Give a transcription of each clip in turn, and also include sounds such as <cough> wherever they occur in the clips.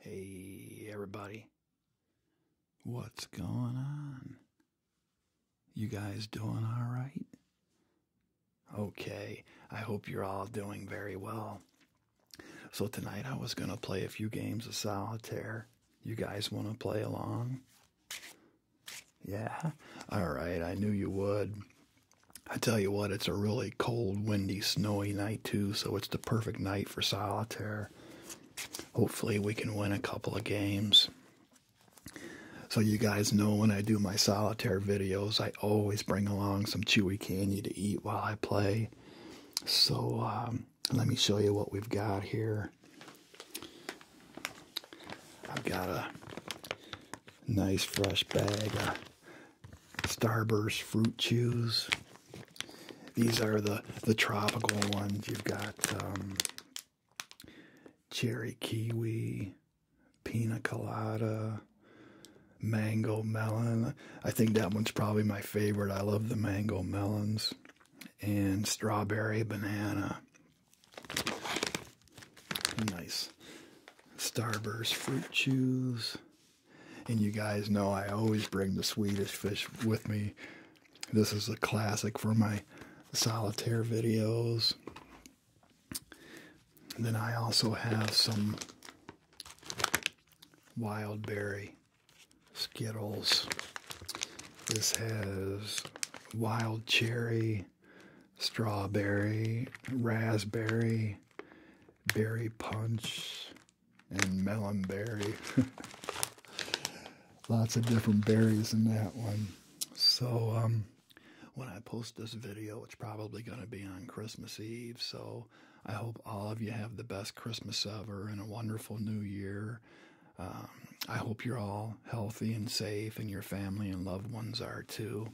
Hey, everybody. What's going on? You guys doing all right? Okay, I hope you're all doing very well. So, tonight I was going to play a few games of solitaire. You guys want to play along? Yeah? All right, I knew you would. I tell you what, it's a really cold, windy, snowy night so it's the perfect night for solitaire. Hopefully, we can win a couple of games. So, you guys know when I do my solitaire videos, I always bring along some chewy candy to eat while I play. So, um, let me show you what we've got here. I've got a nice fresh bag Starburst fruit chews. These are the the tropical ones. You've got um, cherry kiwi, pina colada, mango melon. I think that one's probably my favorite. I love the mango melons and strawberry banana. Nice starburst fruit chews. And you guys know I always bring the Swedish fish with me. This is a classic for my solitaire videos. then I also have some wild berry Skittles. This has wild cherry, strawberry, raspberry, berry punch, and melon berry. <laughs> Lots of different berries in that one. So, um, when I post this video, it's probably going to be on Christmas Eve. So, I hope all of you have the best Christmas ever and a wonderful new year. Um, I hope you're all healthy and safe, and your family and loved ones are too.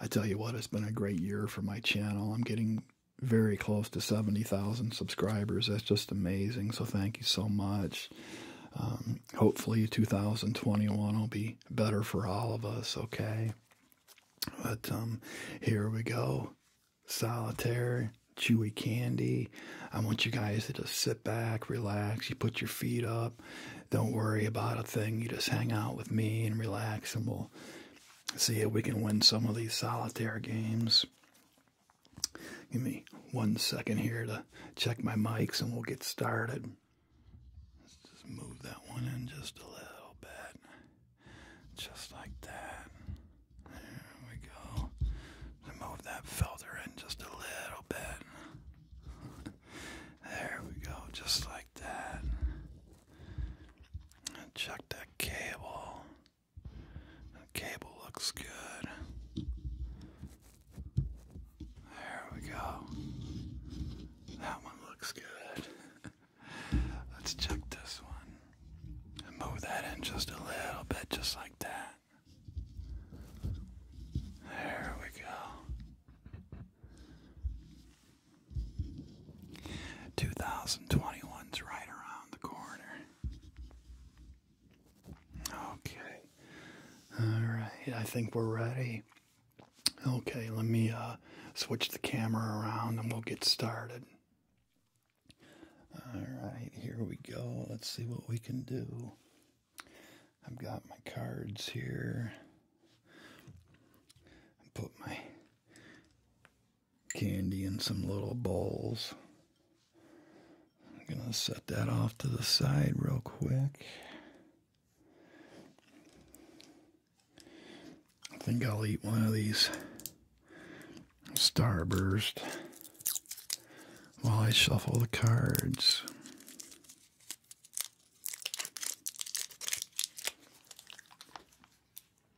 I tell you what, it's been a great year for my channel. I'm getting very close to 70,000 subscribers. That's just amazing. So thank you so much. Um, hopefully 2021 will be better for all of us, okay? But um, here we go. Solitaire, chewy candy. I want you guys to just sit back, relax. You put your feet up. Don't worry about a thing. You just hang out with me and relax, and we see if we can win some of these solitaire games. Give me one second here to check my mics and we'll get started. Let's just move that one in just a little bit. Just like that. There we go. Move that filter in just a little bit. There we go. Just like that. check that cable. That cable looks good. There we go. That one looks good. <laughs> Let's check this one. move that in just a little bit, just like that. There we go. 2021's right around the corner. Okay. Alright, I think we're ready. Okay, let me uh, switch the camera around and we'll get started. Alright, here we go. Let's see what we can do. I've got my cards here. put my candy in some little bowls. I'm going to set that off to the side real quick. I think I'll eat one of these Starburst while I shuffle the cards.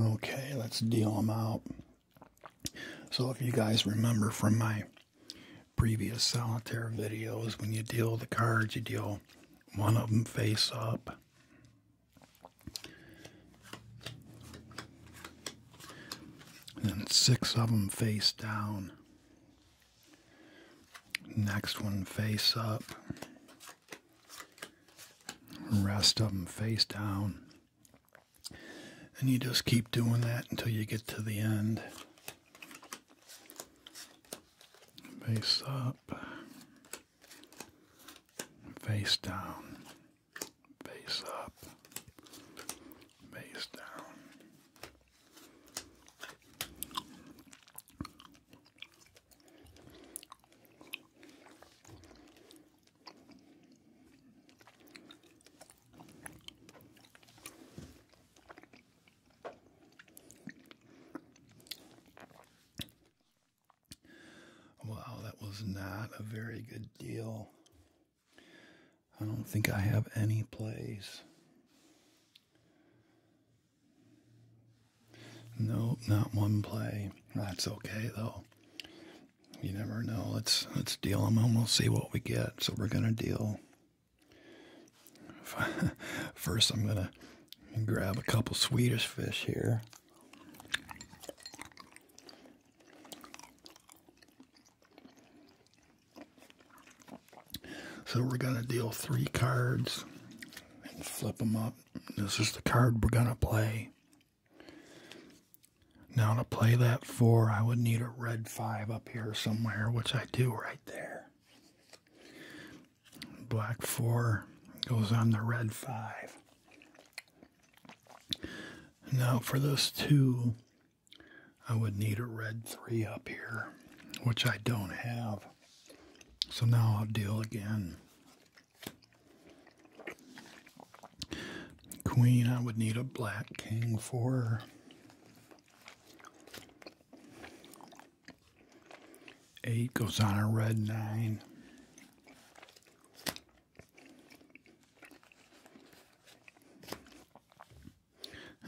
Okay, let's deal them out. So, if you guys remember from my previous solitaire videos, when you deal the cards, you deal one of them face up. And six of them face down. Next one face up. Rest of them face down. And you just keep doing that until you get to the end. Face up. Face down. Face up. Face down. Wow, that was not a very good deal. I don't think I have any plays. Nope, not one play. That's okay though. You never know. Let's let's deal them and we'll see what we get. So we're gonna deal. <laughs> First, I'm gonna grab a couple Swedish fish here. So we're going to deal three cards and flip them up. This is the card we're going to play. Now to play that four, I would need a red five up here somewhere, which I do right there. Black four goes on the red five. Now for those two, I would need a red 3 up here, which I don't have. So now I'll deal again. Queen, I would need a black king for. Eight goes on a red nine.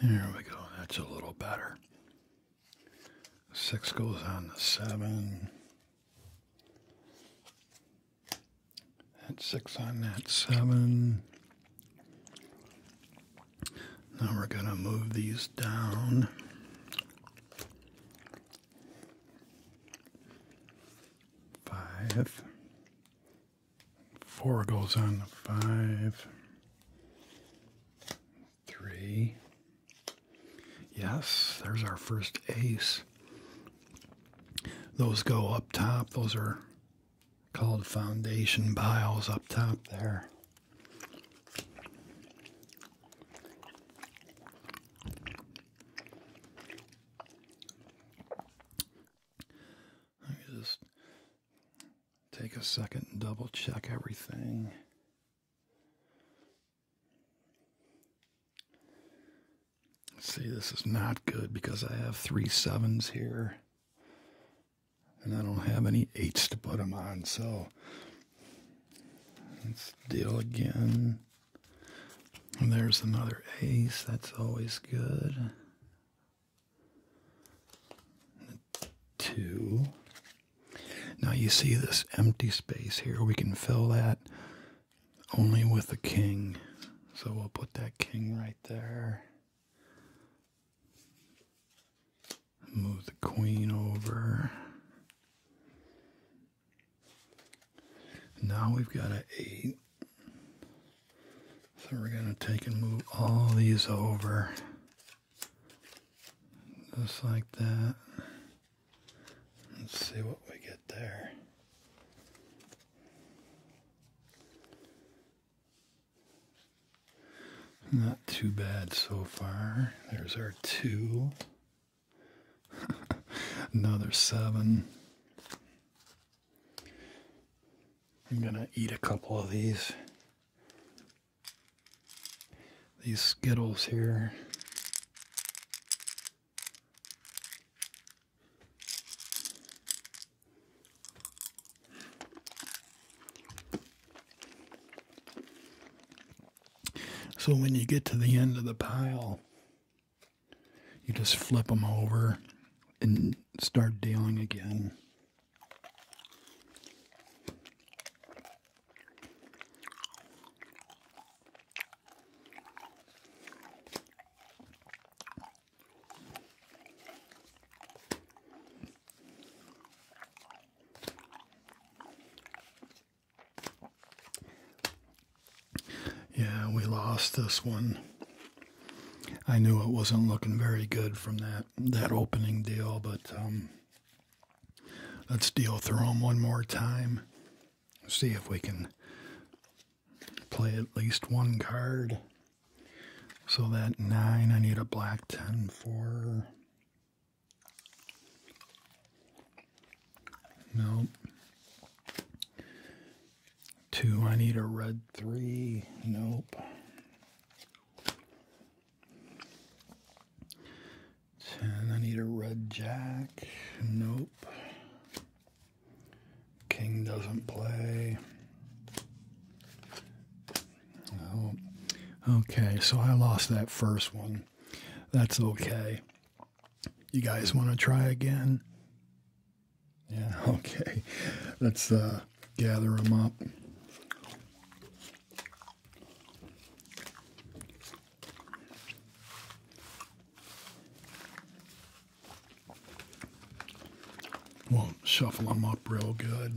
There we go. That's a little better. Six goes on the seven. That six on that seven. Now we're going to move these down. Five. Four goes on the five. Three. Yes, there's our first ace. Those go up top. Those are called foundation piles up top there. just Take a second and double check everything. See, this is not good because I have three sevens here. And I don't have any eights to put them on, so let's deal again. And there's another ace, that's always good two. Now you see this empty space here. We can fill that only with a king. So we'll put that king right there. Move the queen over. Now we've got an eight. So we're going to take and move all these over. Just like that. Let's see what we get there. Not too bad so far. There's our two. <laughs> Another seven. I'm going to eat a couple of these. These Skittles here. So when you get to the end of the pile, you just flip them over and start dealing again. Yeah, we lost this one. I knew it wasn't looking very good from that that opening deal, but um, let's deal through them one more time. See if we can play at least one card. So that nine, I need a black ten for. Nope. Two, I need a red three. Nope. Ten. I need a red jack. Nope. King doesn't play. Okay, so I lost that first one. That's okay. You guys want to try again? Yeah, <laughs> okay. Let's uh gather them up. We'll shuffle them up real good.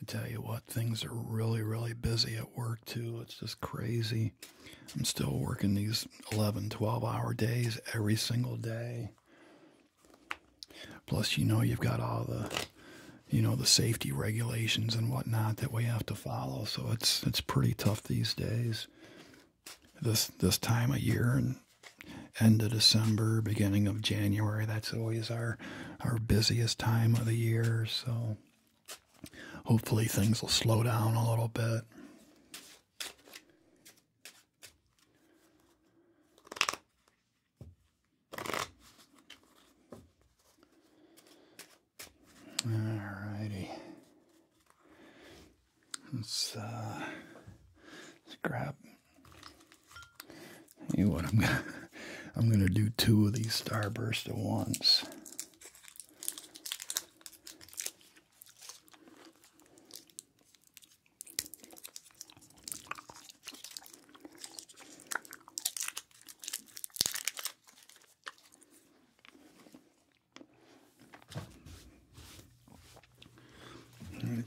I tell you what, things are really, really busy at work too. It's just crazy. I'm still working these 11, 12 hour days every single day. Plus, you know, you've got all the, you know, the safety regulations and whatnot that we have to follow. So it's it's pretty tough these days. This this time of year and end of December, beginning of January, that's always our our busiest time of the year. So hopefully things will slow down a little bit. Alrighty. Let's uh grab you know what I'm gonna I'm gonna do two of these Starburst at once.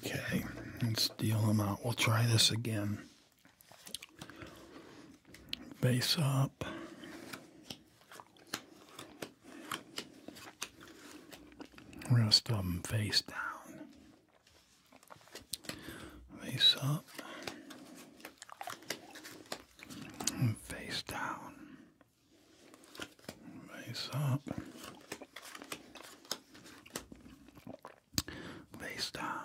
Okay, let's deal them out. We'll try this again. Base up. Rest of them face down. Face up. face down. Face up. Face down.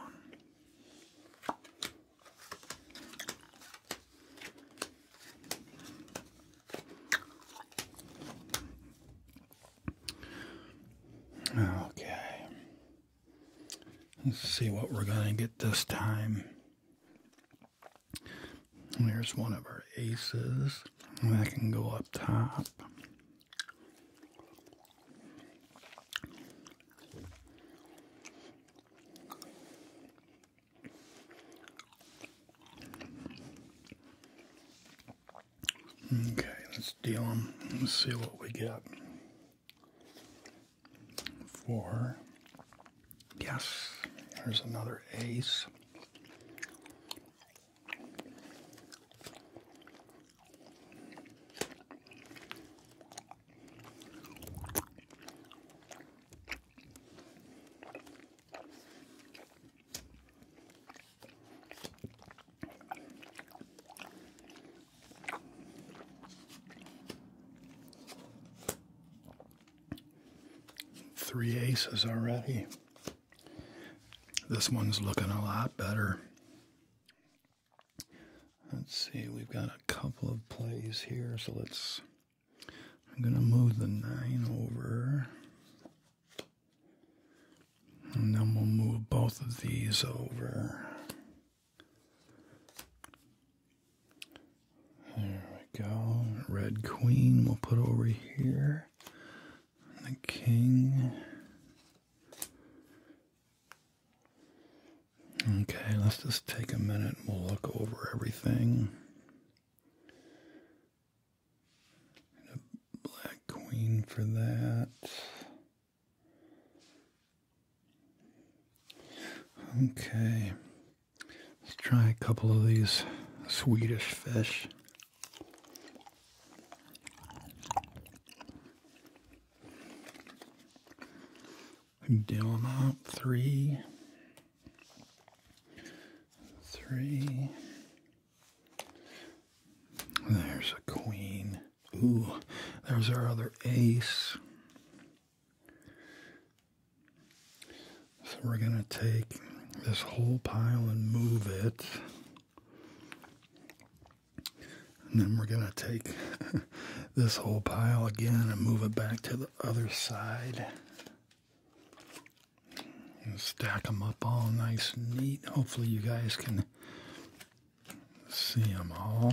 Okay. Let's see what we're going to get this time. There's one of our aces. That can go up top. Okay, let's deal them. Let's see what we get Four. Yes, there's another ace. Three aces already. This one's looking a lot better. Let's see, we've got a couple of plays here, so let's. I'm going to move the nine over. And then we'll move both of these over. There we go. Red Queen we'll put over here. And the King. Okay, let's just take a minute. We'll look over everything. And a black queen for that. Okay, let's try a couple of these Swedish fish. Deal them out. Three. Three. There's a queen. Ooh, there's our other ace. So we're going to take this whole pile and move it. And then we're going to take <laughs> this whole pile again and move it back to the other side stack them up all nice and neat. Hopefully, you guys can see them all.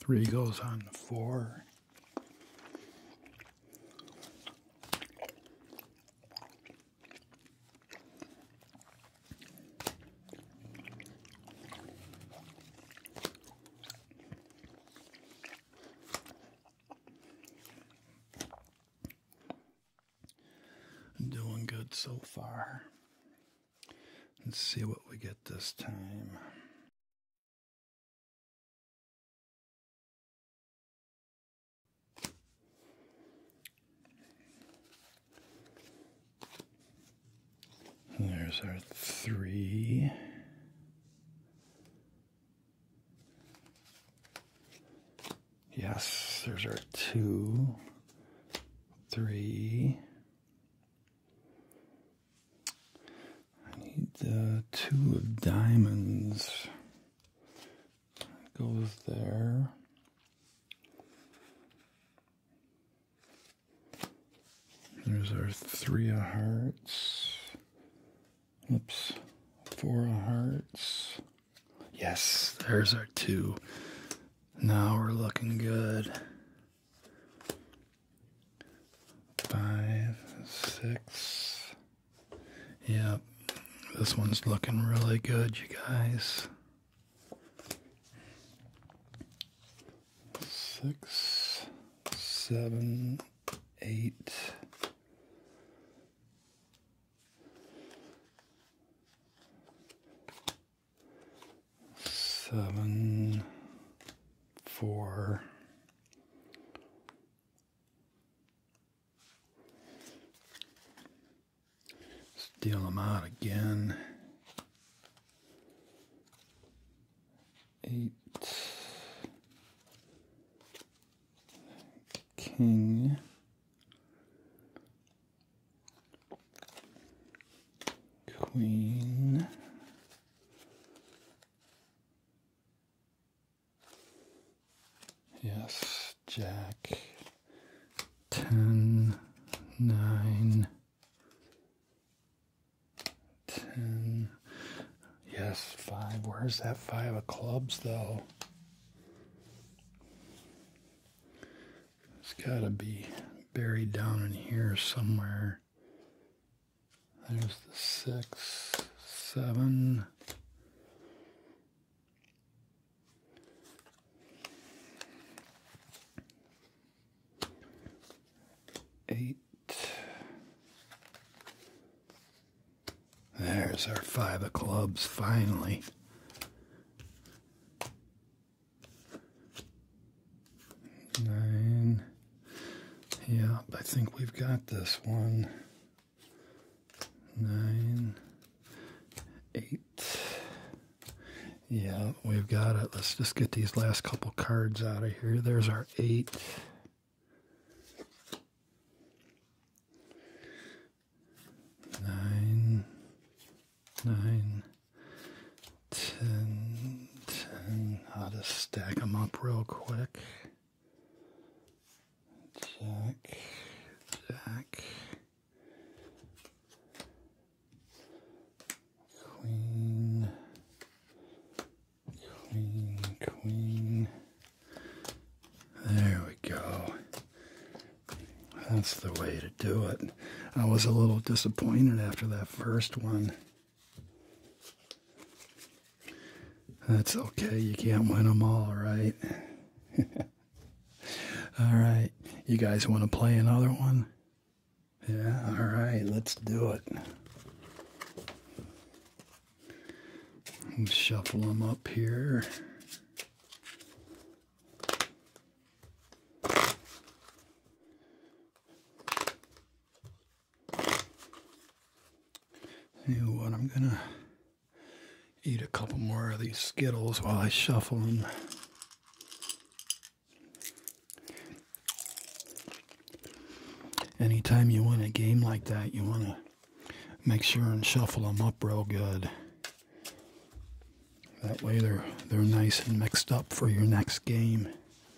Three goes on the four. Doing good so far. Let's see what we get this time. There's our three. Yes, there's our two, three, I need two of diamonds. goes there. There's our three of hearts. Oops, four of hearts. Yes, there's our two. Now we're looking good. Five, six. Yep, this one's looking really good, you guys. Six, seven, eight seven, four, steal them out again. Eight, king, Queen. Yes, Jack. Ten, nine, ten. Yes, five. Where's that five of clubs, though? It's got to be buried down in here somewhere. There's the six, seven, eight. There's our five of clubs, finally nine. Yeah, I think we've got this one. Nine, eight. Yeah, we've got it. Let's just get these last couple cards out of here. There's our eight. Nine, nine, 10, 10. I'll just stack them up real quick. Jack, Jack, Queen, Queen, Queen. There we go. That's the way to do it. I was a little disappointed after that first one. That's okay. You can't win them all, right? <laughs> all right. You guys want to play another one? Yeah, all right. Let's do it. Shuffle them up here. You know what, I'm gonna eat a couple more of these Skittles while I shuffle them. Anytime you win a game like that, you want to make sure and shuffle them up real good. That way they're, they're nice and mixed up for your next game.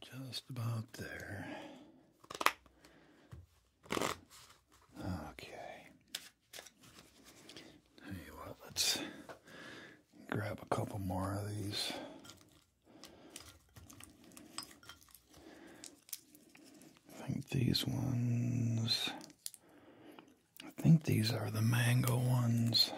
just about there. Okay. Tell you let's grab a couple more of these. I think these ones I think these are the mango ones.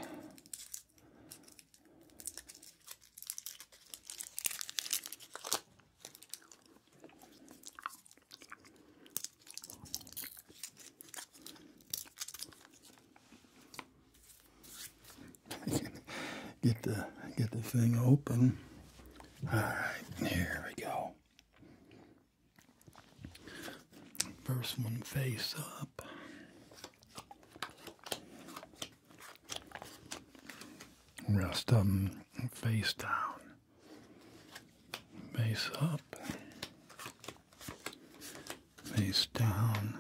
<laughs> get the get the thing open. All right, here we go. First one face up. Rest of them face down. Face up. Face down.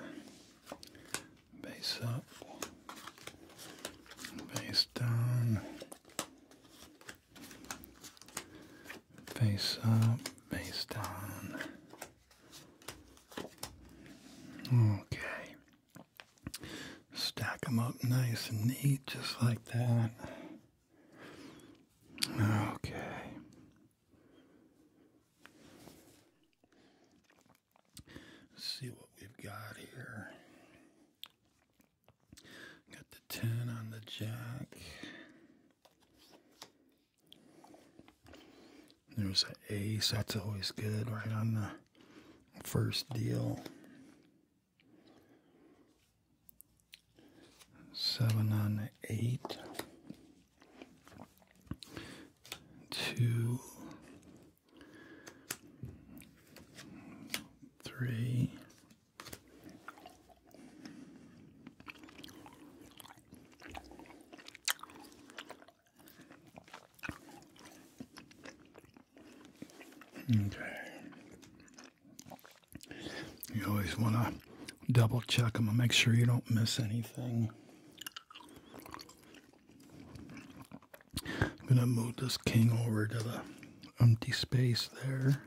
Face up. Face down face up, face down. Okay, stack them up nice and neat, just like that. Okay. see what we've got here. Got the 10 on the jack. There's an ace, that's always good, right on the first deal. Seven on the eight. Two. Three. Okay. You always want to double check them and make sure you don't miss anything. I'm going to move this king over to the empty space there.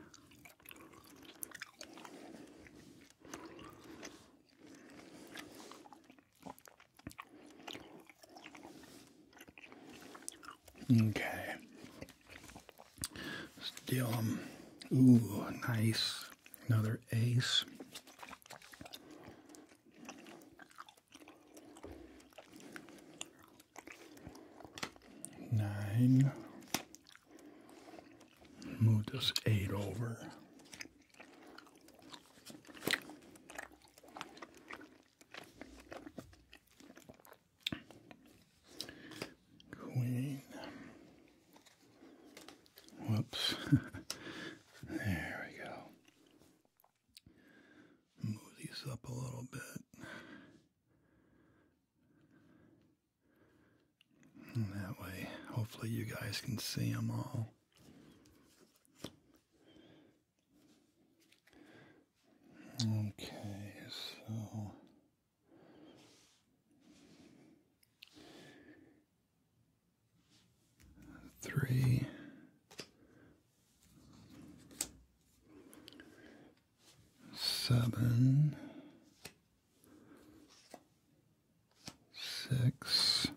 Okay. Still, um, ooh, nice. Another ace. Nine. Move this eight over. Queen. Whoops. <laughs> there we go. Move these up a little bit that way, hopefully, you guys can see them all. Okay, so three, seven, six,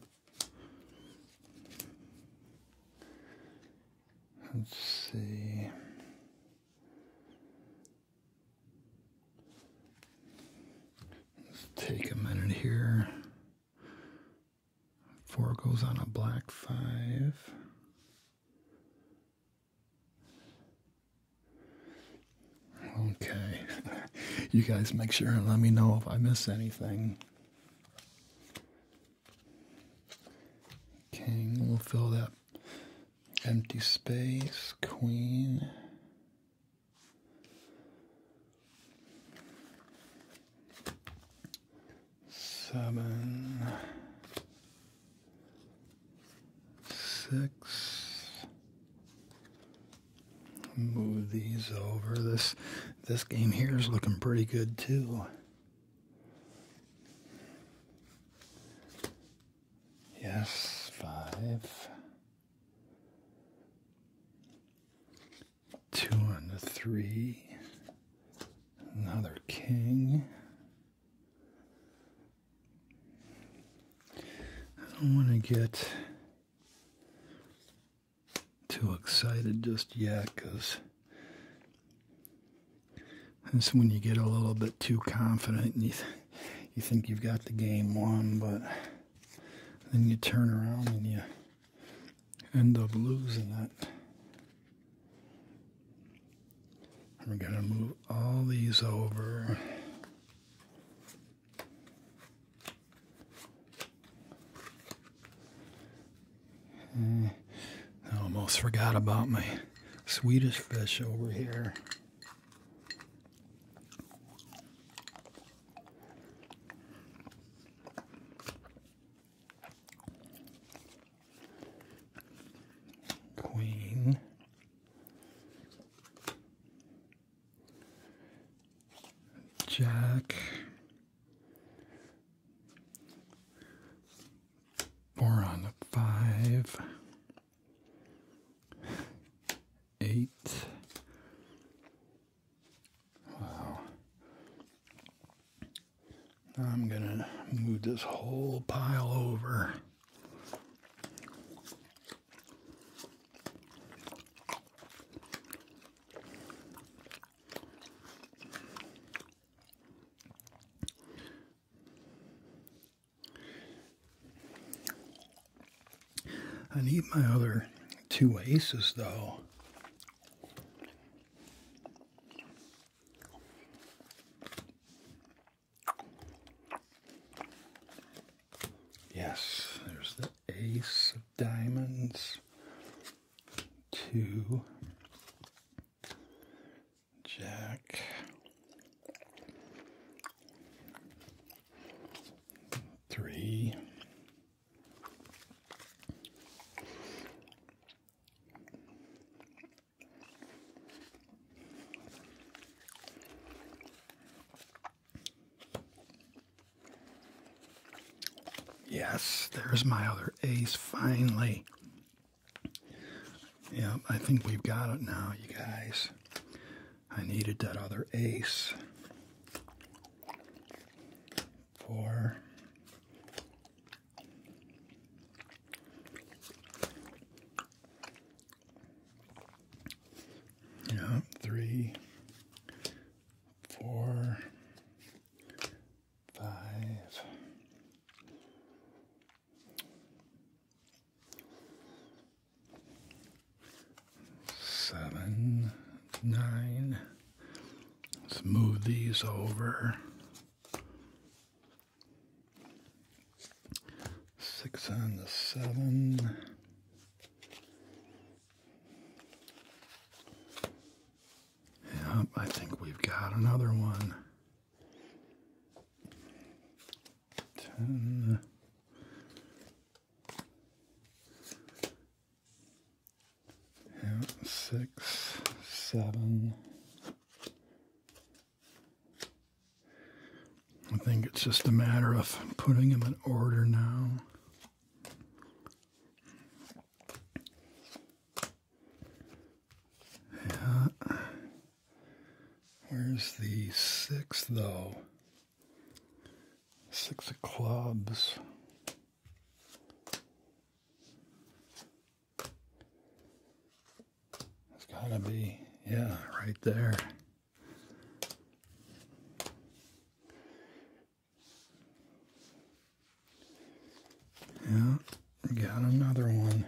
let's see. Let's take a minute here. Four goes on a black five. Okay. <laughs> you guys make sure and let me know if I miss anything. King, we'll fill that empty space. Queen. Seven six. Move these over. This this game here is looking pretty good too. Yes, five. Two on the three. Another king. I don't want to get too excited just yet because that's when you get a little bit too confident and you, you think you've got the game won, but then you turn around and you end up losing it. We're going to move all these over. Hmm, I almost forgot about my Swedish fish over here. Queen. Jack. four on the five, eight. Wow. I'm going to move this whole pile over. I need my other two aces though. Yes, there's the ace of diamonds. Two. Jack. Three. Yes, there's my other ace finally. Yeah, I think we've got it now, you guys. I needed that other ace for yeah, three, four, five. Seven, nine. Let's move these over. Six and a seven. Yep, I think we've got another one. Ten. Yep, six, seven, I think it's just a matter of putting them in order now. Yeah. Where's the sixth though? Six of clubs. It's gotta be, yeah, right there. Yeah, got another one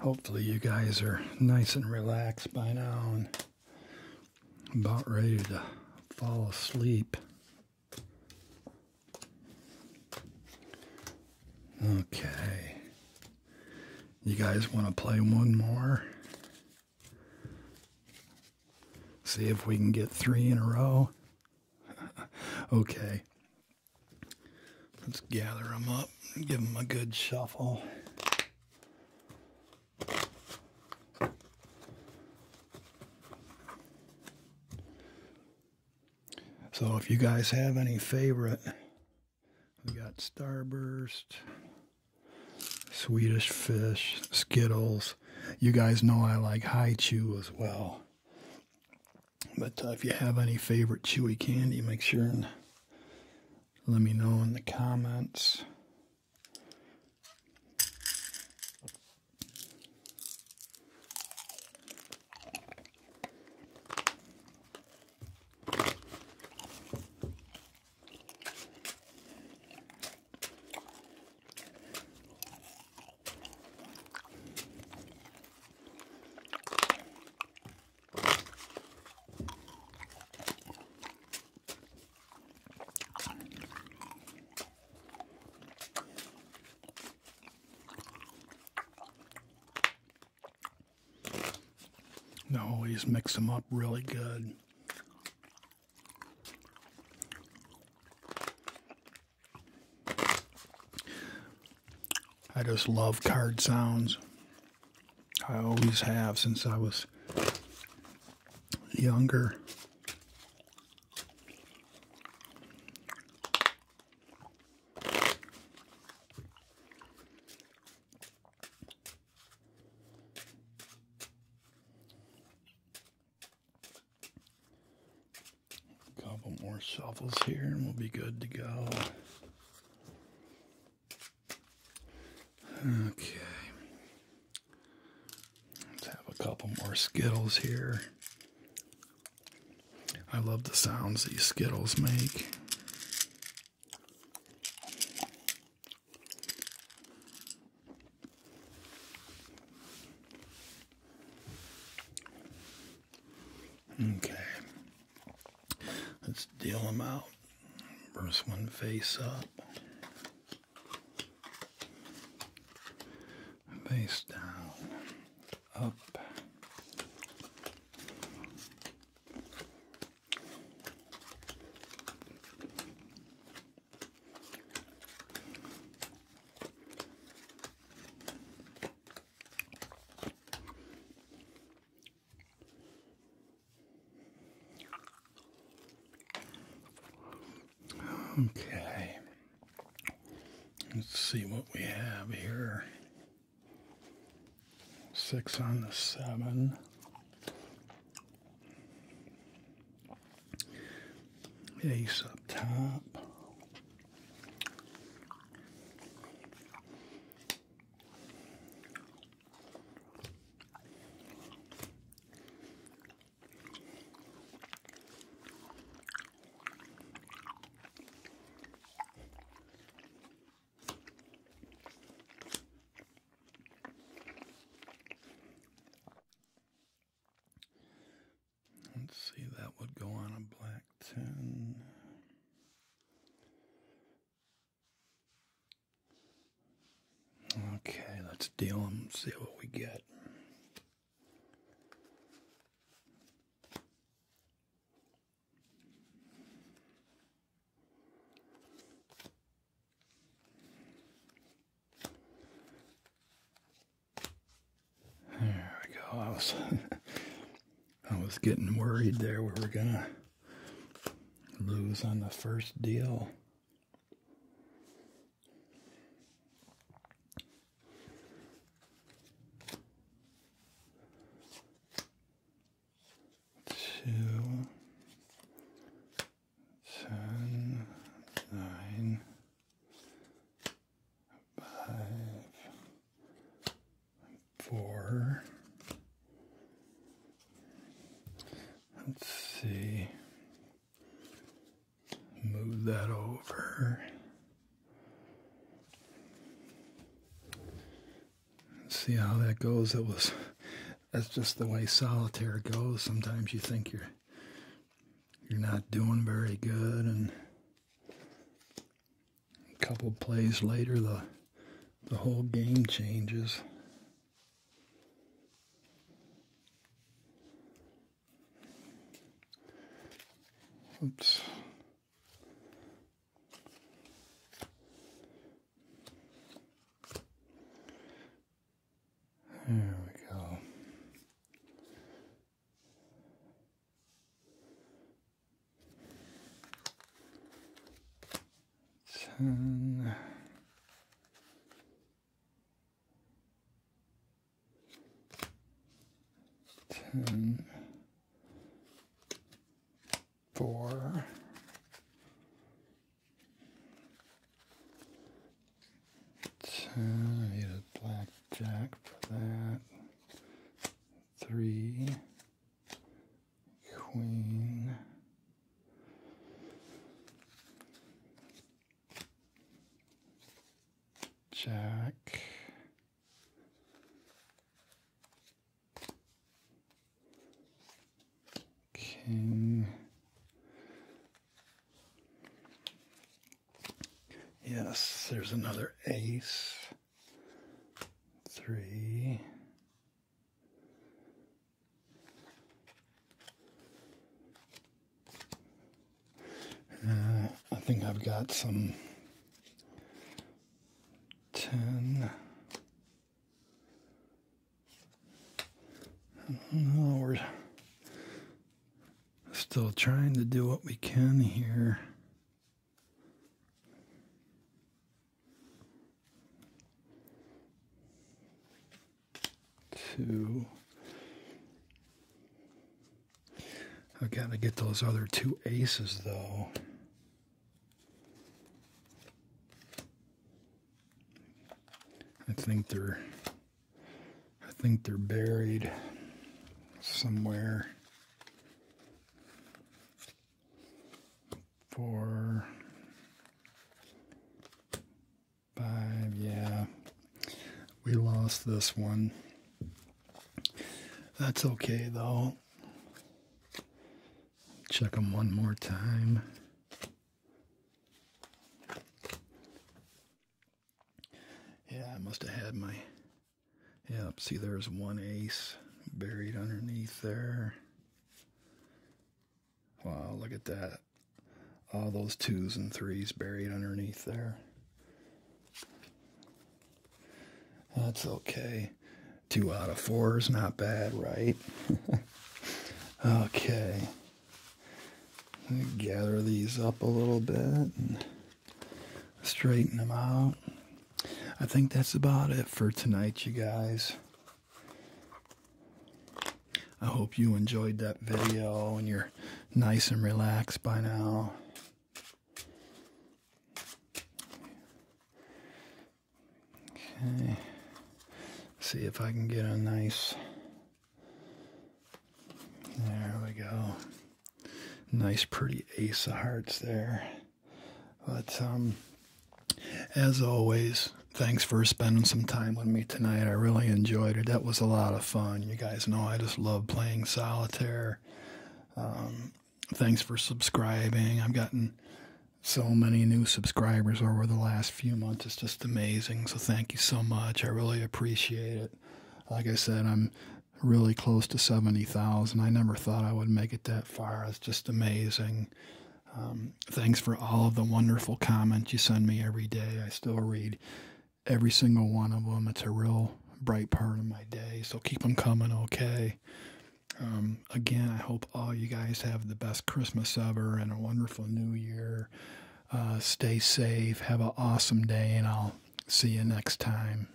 hopefully you guys are nice and relaxed by now and about ready to fall asleep. Okay. You guys want to play one more? See if we can get three in a row. <laughs> okay. Let's gather them up and give them a good shuffle. So if you guys have any favorite, we got Starburst, Swedish Fish, Skittles. You guys know I like High Chew as well. But uh, if you have any favorite chewy candy, make sure and let me know in the comments. They always mix them up really good. I just love card sounds. I always have since I was younger. couple more shovels here and we'll be good to go. Okay. Let's have a couple more Skittles here. I love the sounds these Skittles make. Okay. Let's deal them out. First one face up. Face down. Up. Okay. Let's see what we have here. Six on the seven. Ace up top. Let's see, that would go on a black 10. Okay, let's deal and see what we get. There we go. <laughs> I was getting worried there we were going to lose on the first deal. Two, ten, nine, five, four. Let's see. Move that over. See how that goes? That was that's just the way solitaire goes. Sometimes you think you're you're not doing very good and a couple plays later, the the whole game changes. Oops. There we go. Ten. Ten. Four. Ten. I need a blackjack for that. Three queen. Jack. King. Yes, there's another ace. Three. Uh, I think I've got some 10. we're still trying to do what we can here. Two. I've got to get those other two aces, though. I think they're I think they're buried somewhere four, five. Yeah, we lost this one. That's okay though. Check them one more time. Yeah, I must have had my. Yep, see, there's one ace buried underneath there. Wow, look at that. All those twos and threes buried underneath there. That's okay. Two out of four is not bad, right? <laughs> okay. Gather these up a little bit and straighten them out. I think that's about it for tonight, you guys. I hope you enjoyed that video and you're nice and relaxed by now. Okay. See if I can get a nice. There we go. Nice, pretty ace of hearts there. But um, as always, thanks for spending some time with me tonight. I really enjoyed it. That was a lot of fun. You guys know I just love playing solitaire. Um, thanks for subscribing. I've gotten so many new subscribers over the last few months. It's just amazing. So thank you so much. I really appreciate it. Like I said, I'm really close to 70,000. I never thought I would make it that Fire is just amazing. Um, thanks for all of the wonderful comments you send me every day. I still read every single one of them. It's a real bright part of my day. So keep them coming, okay? Um, again, I hope all you guys have the best Christmas ever and a wonderful new year. Uh, stay safe. Have an awesome day, and I'll see you next time.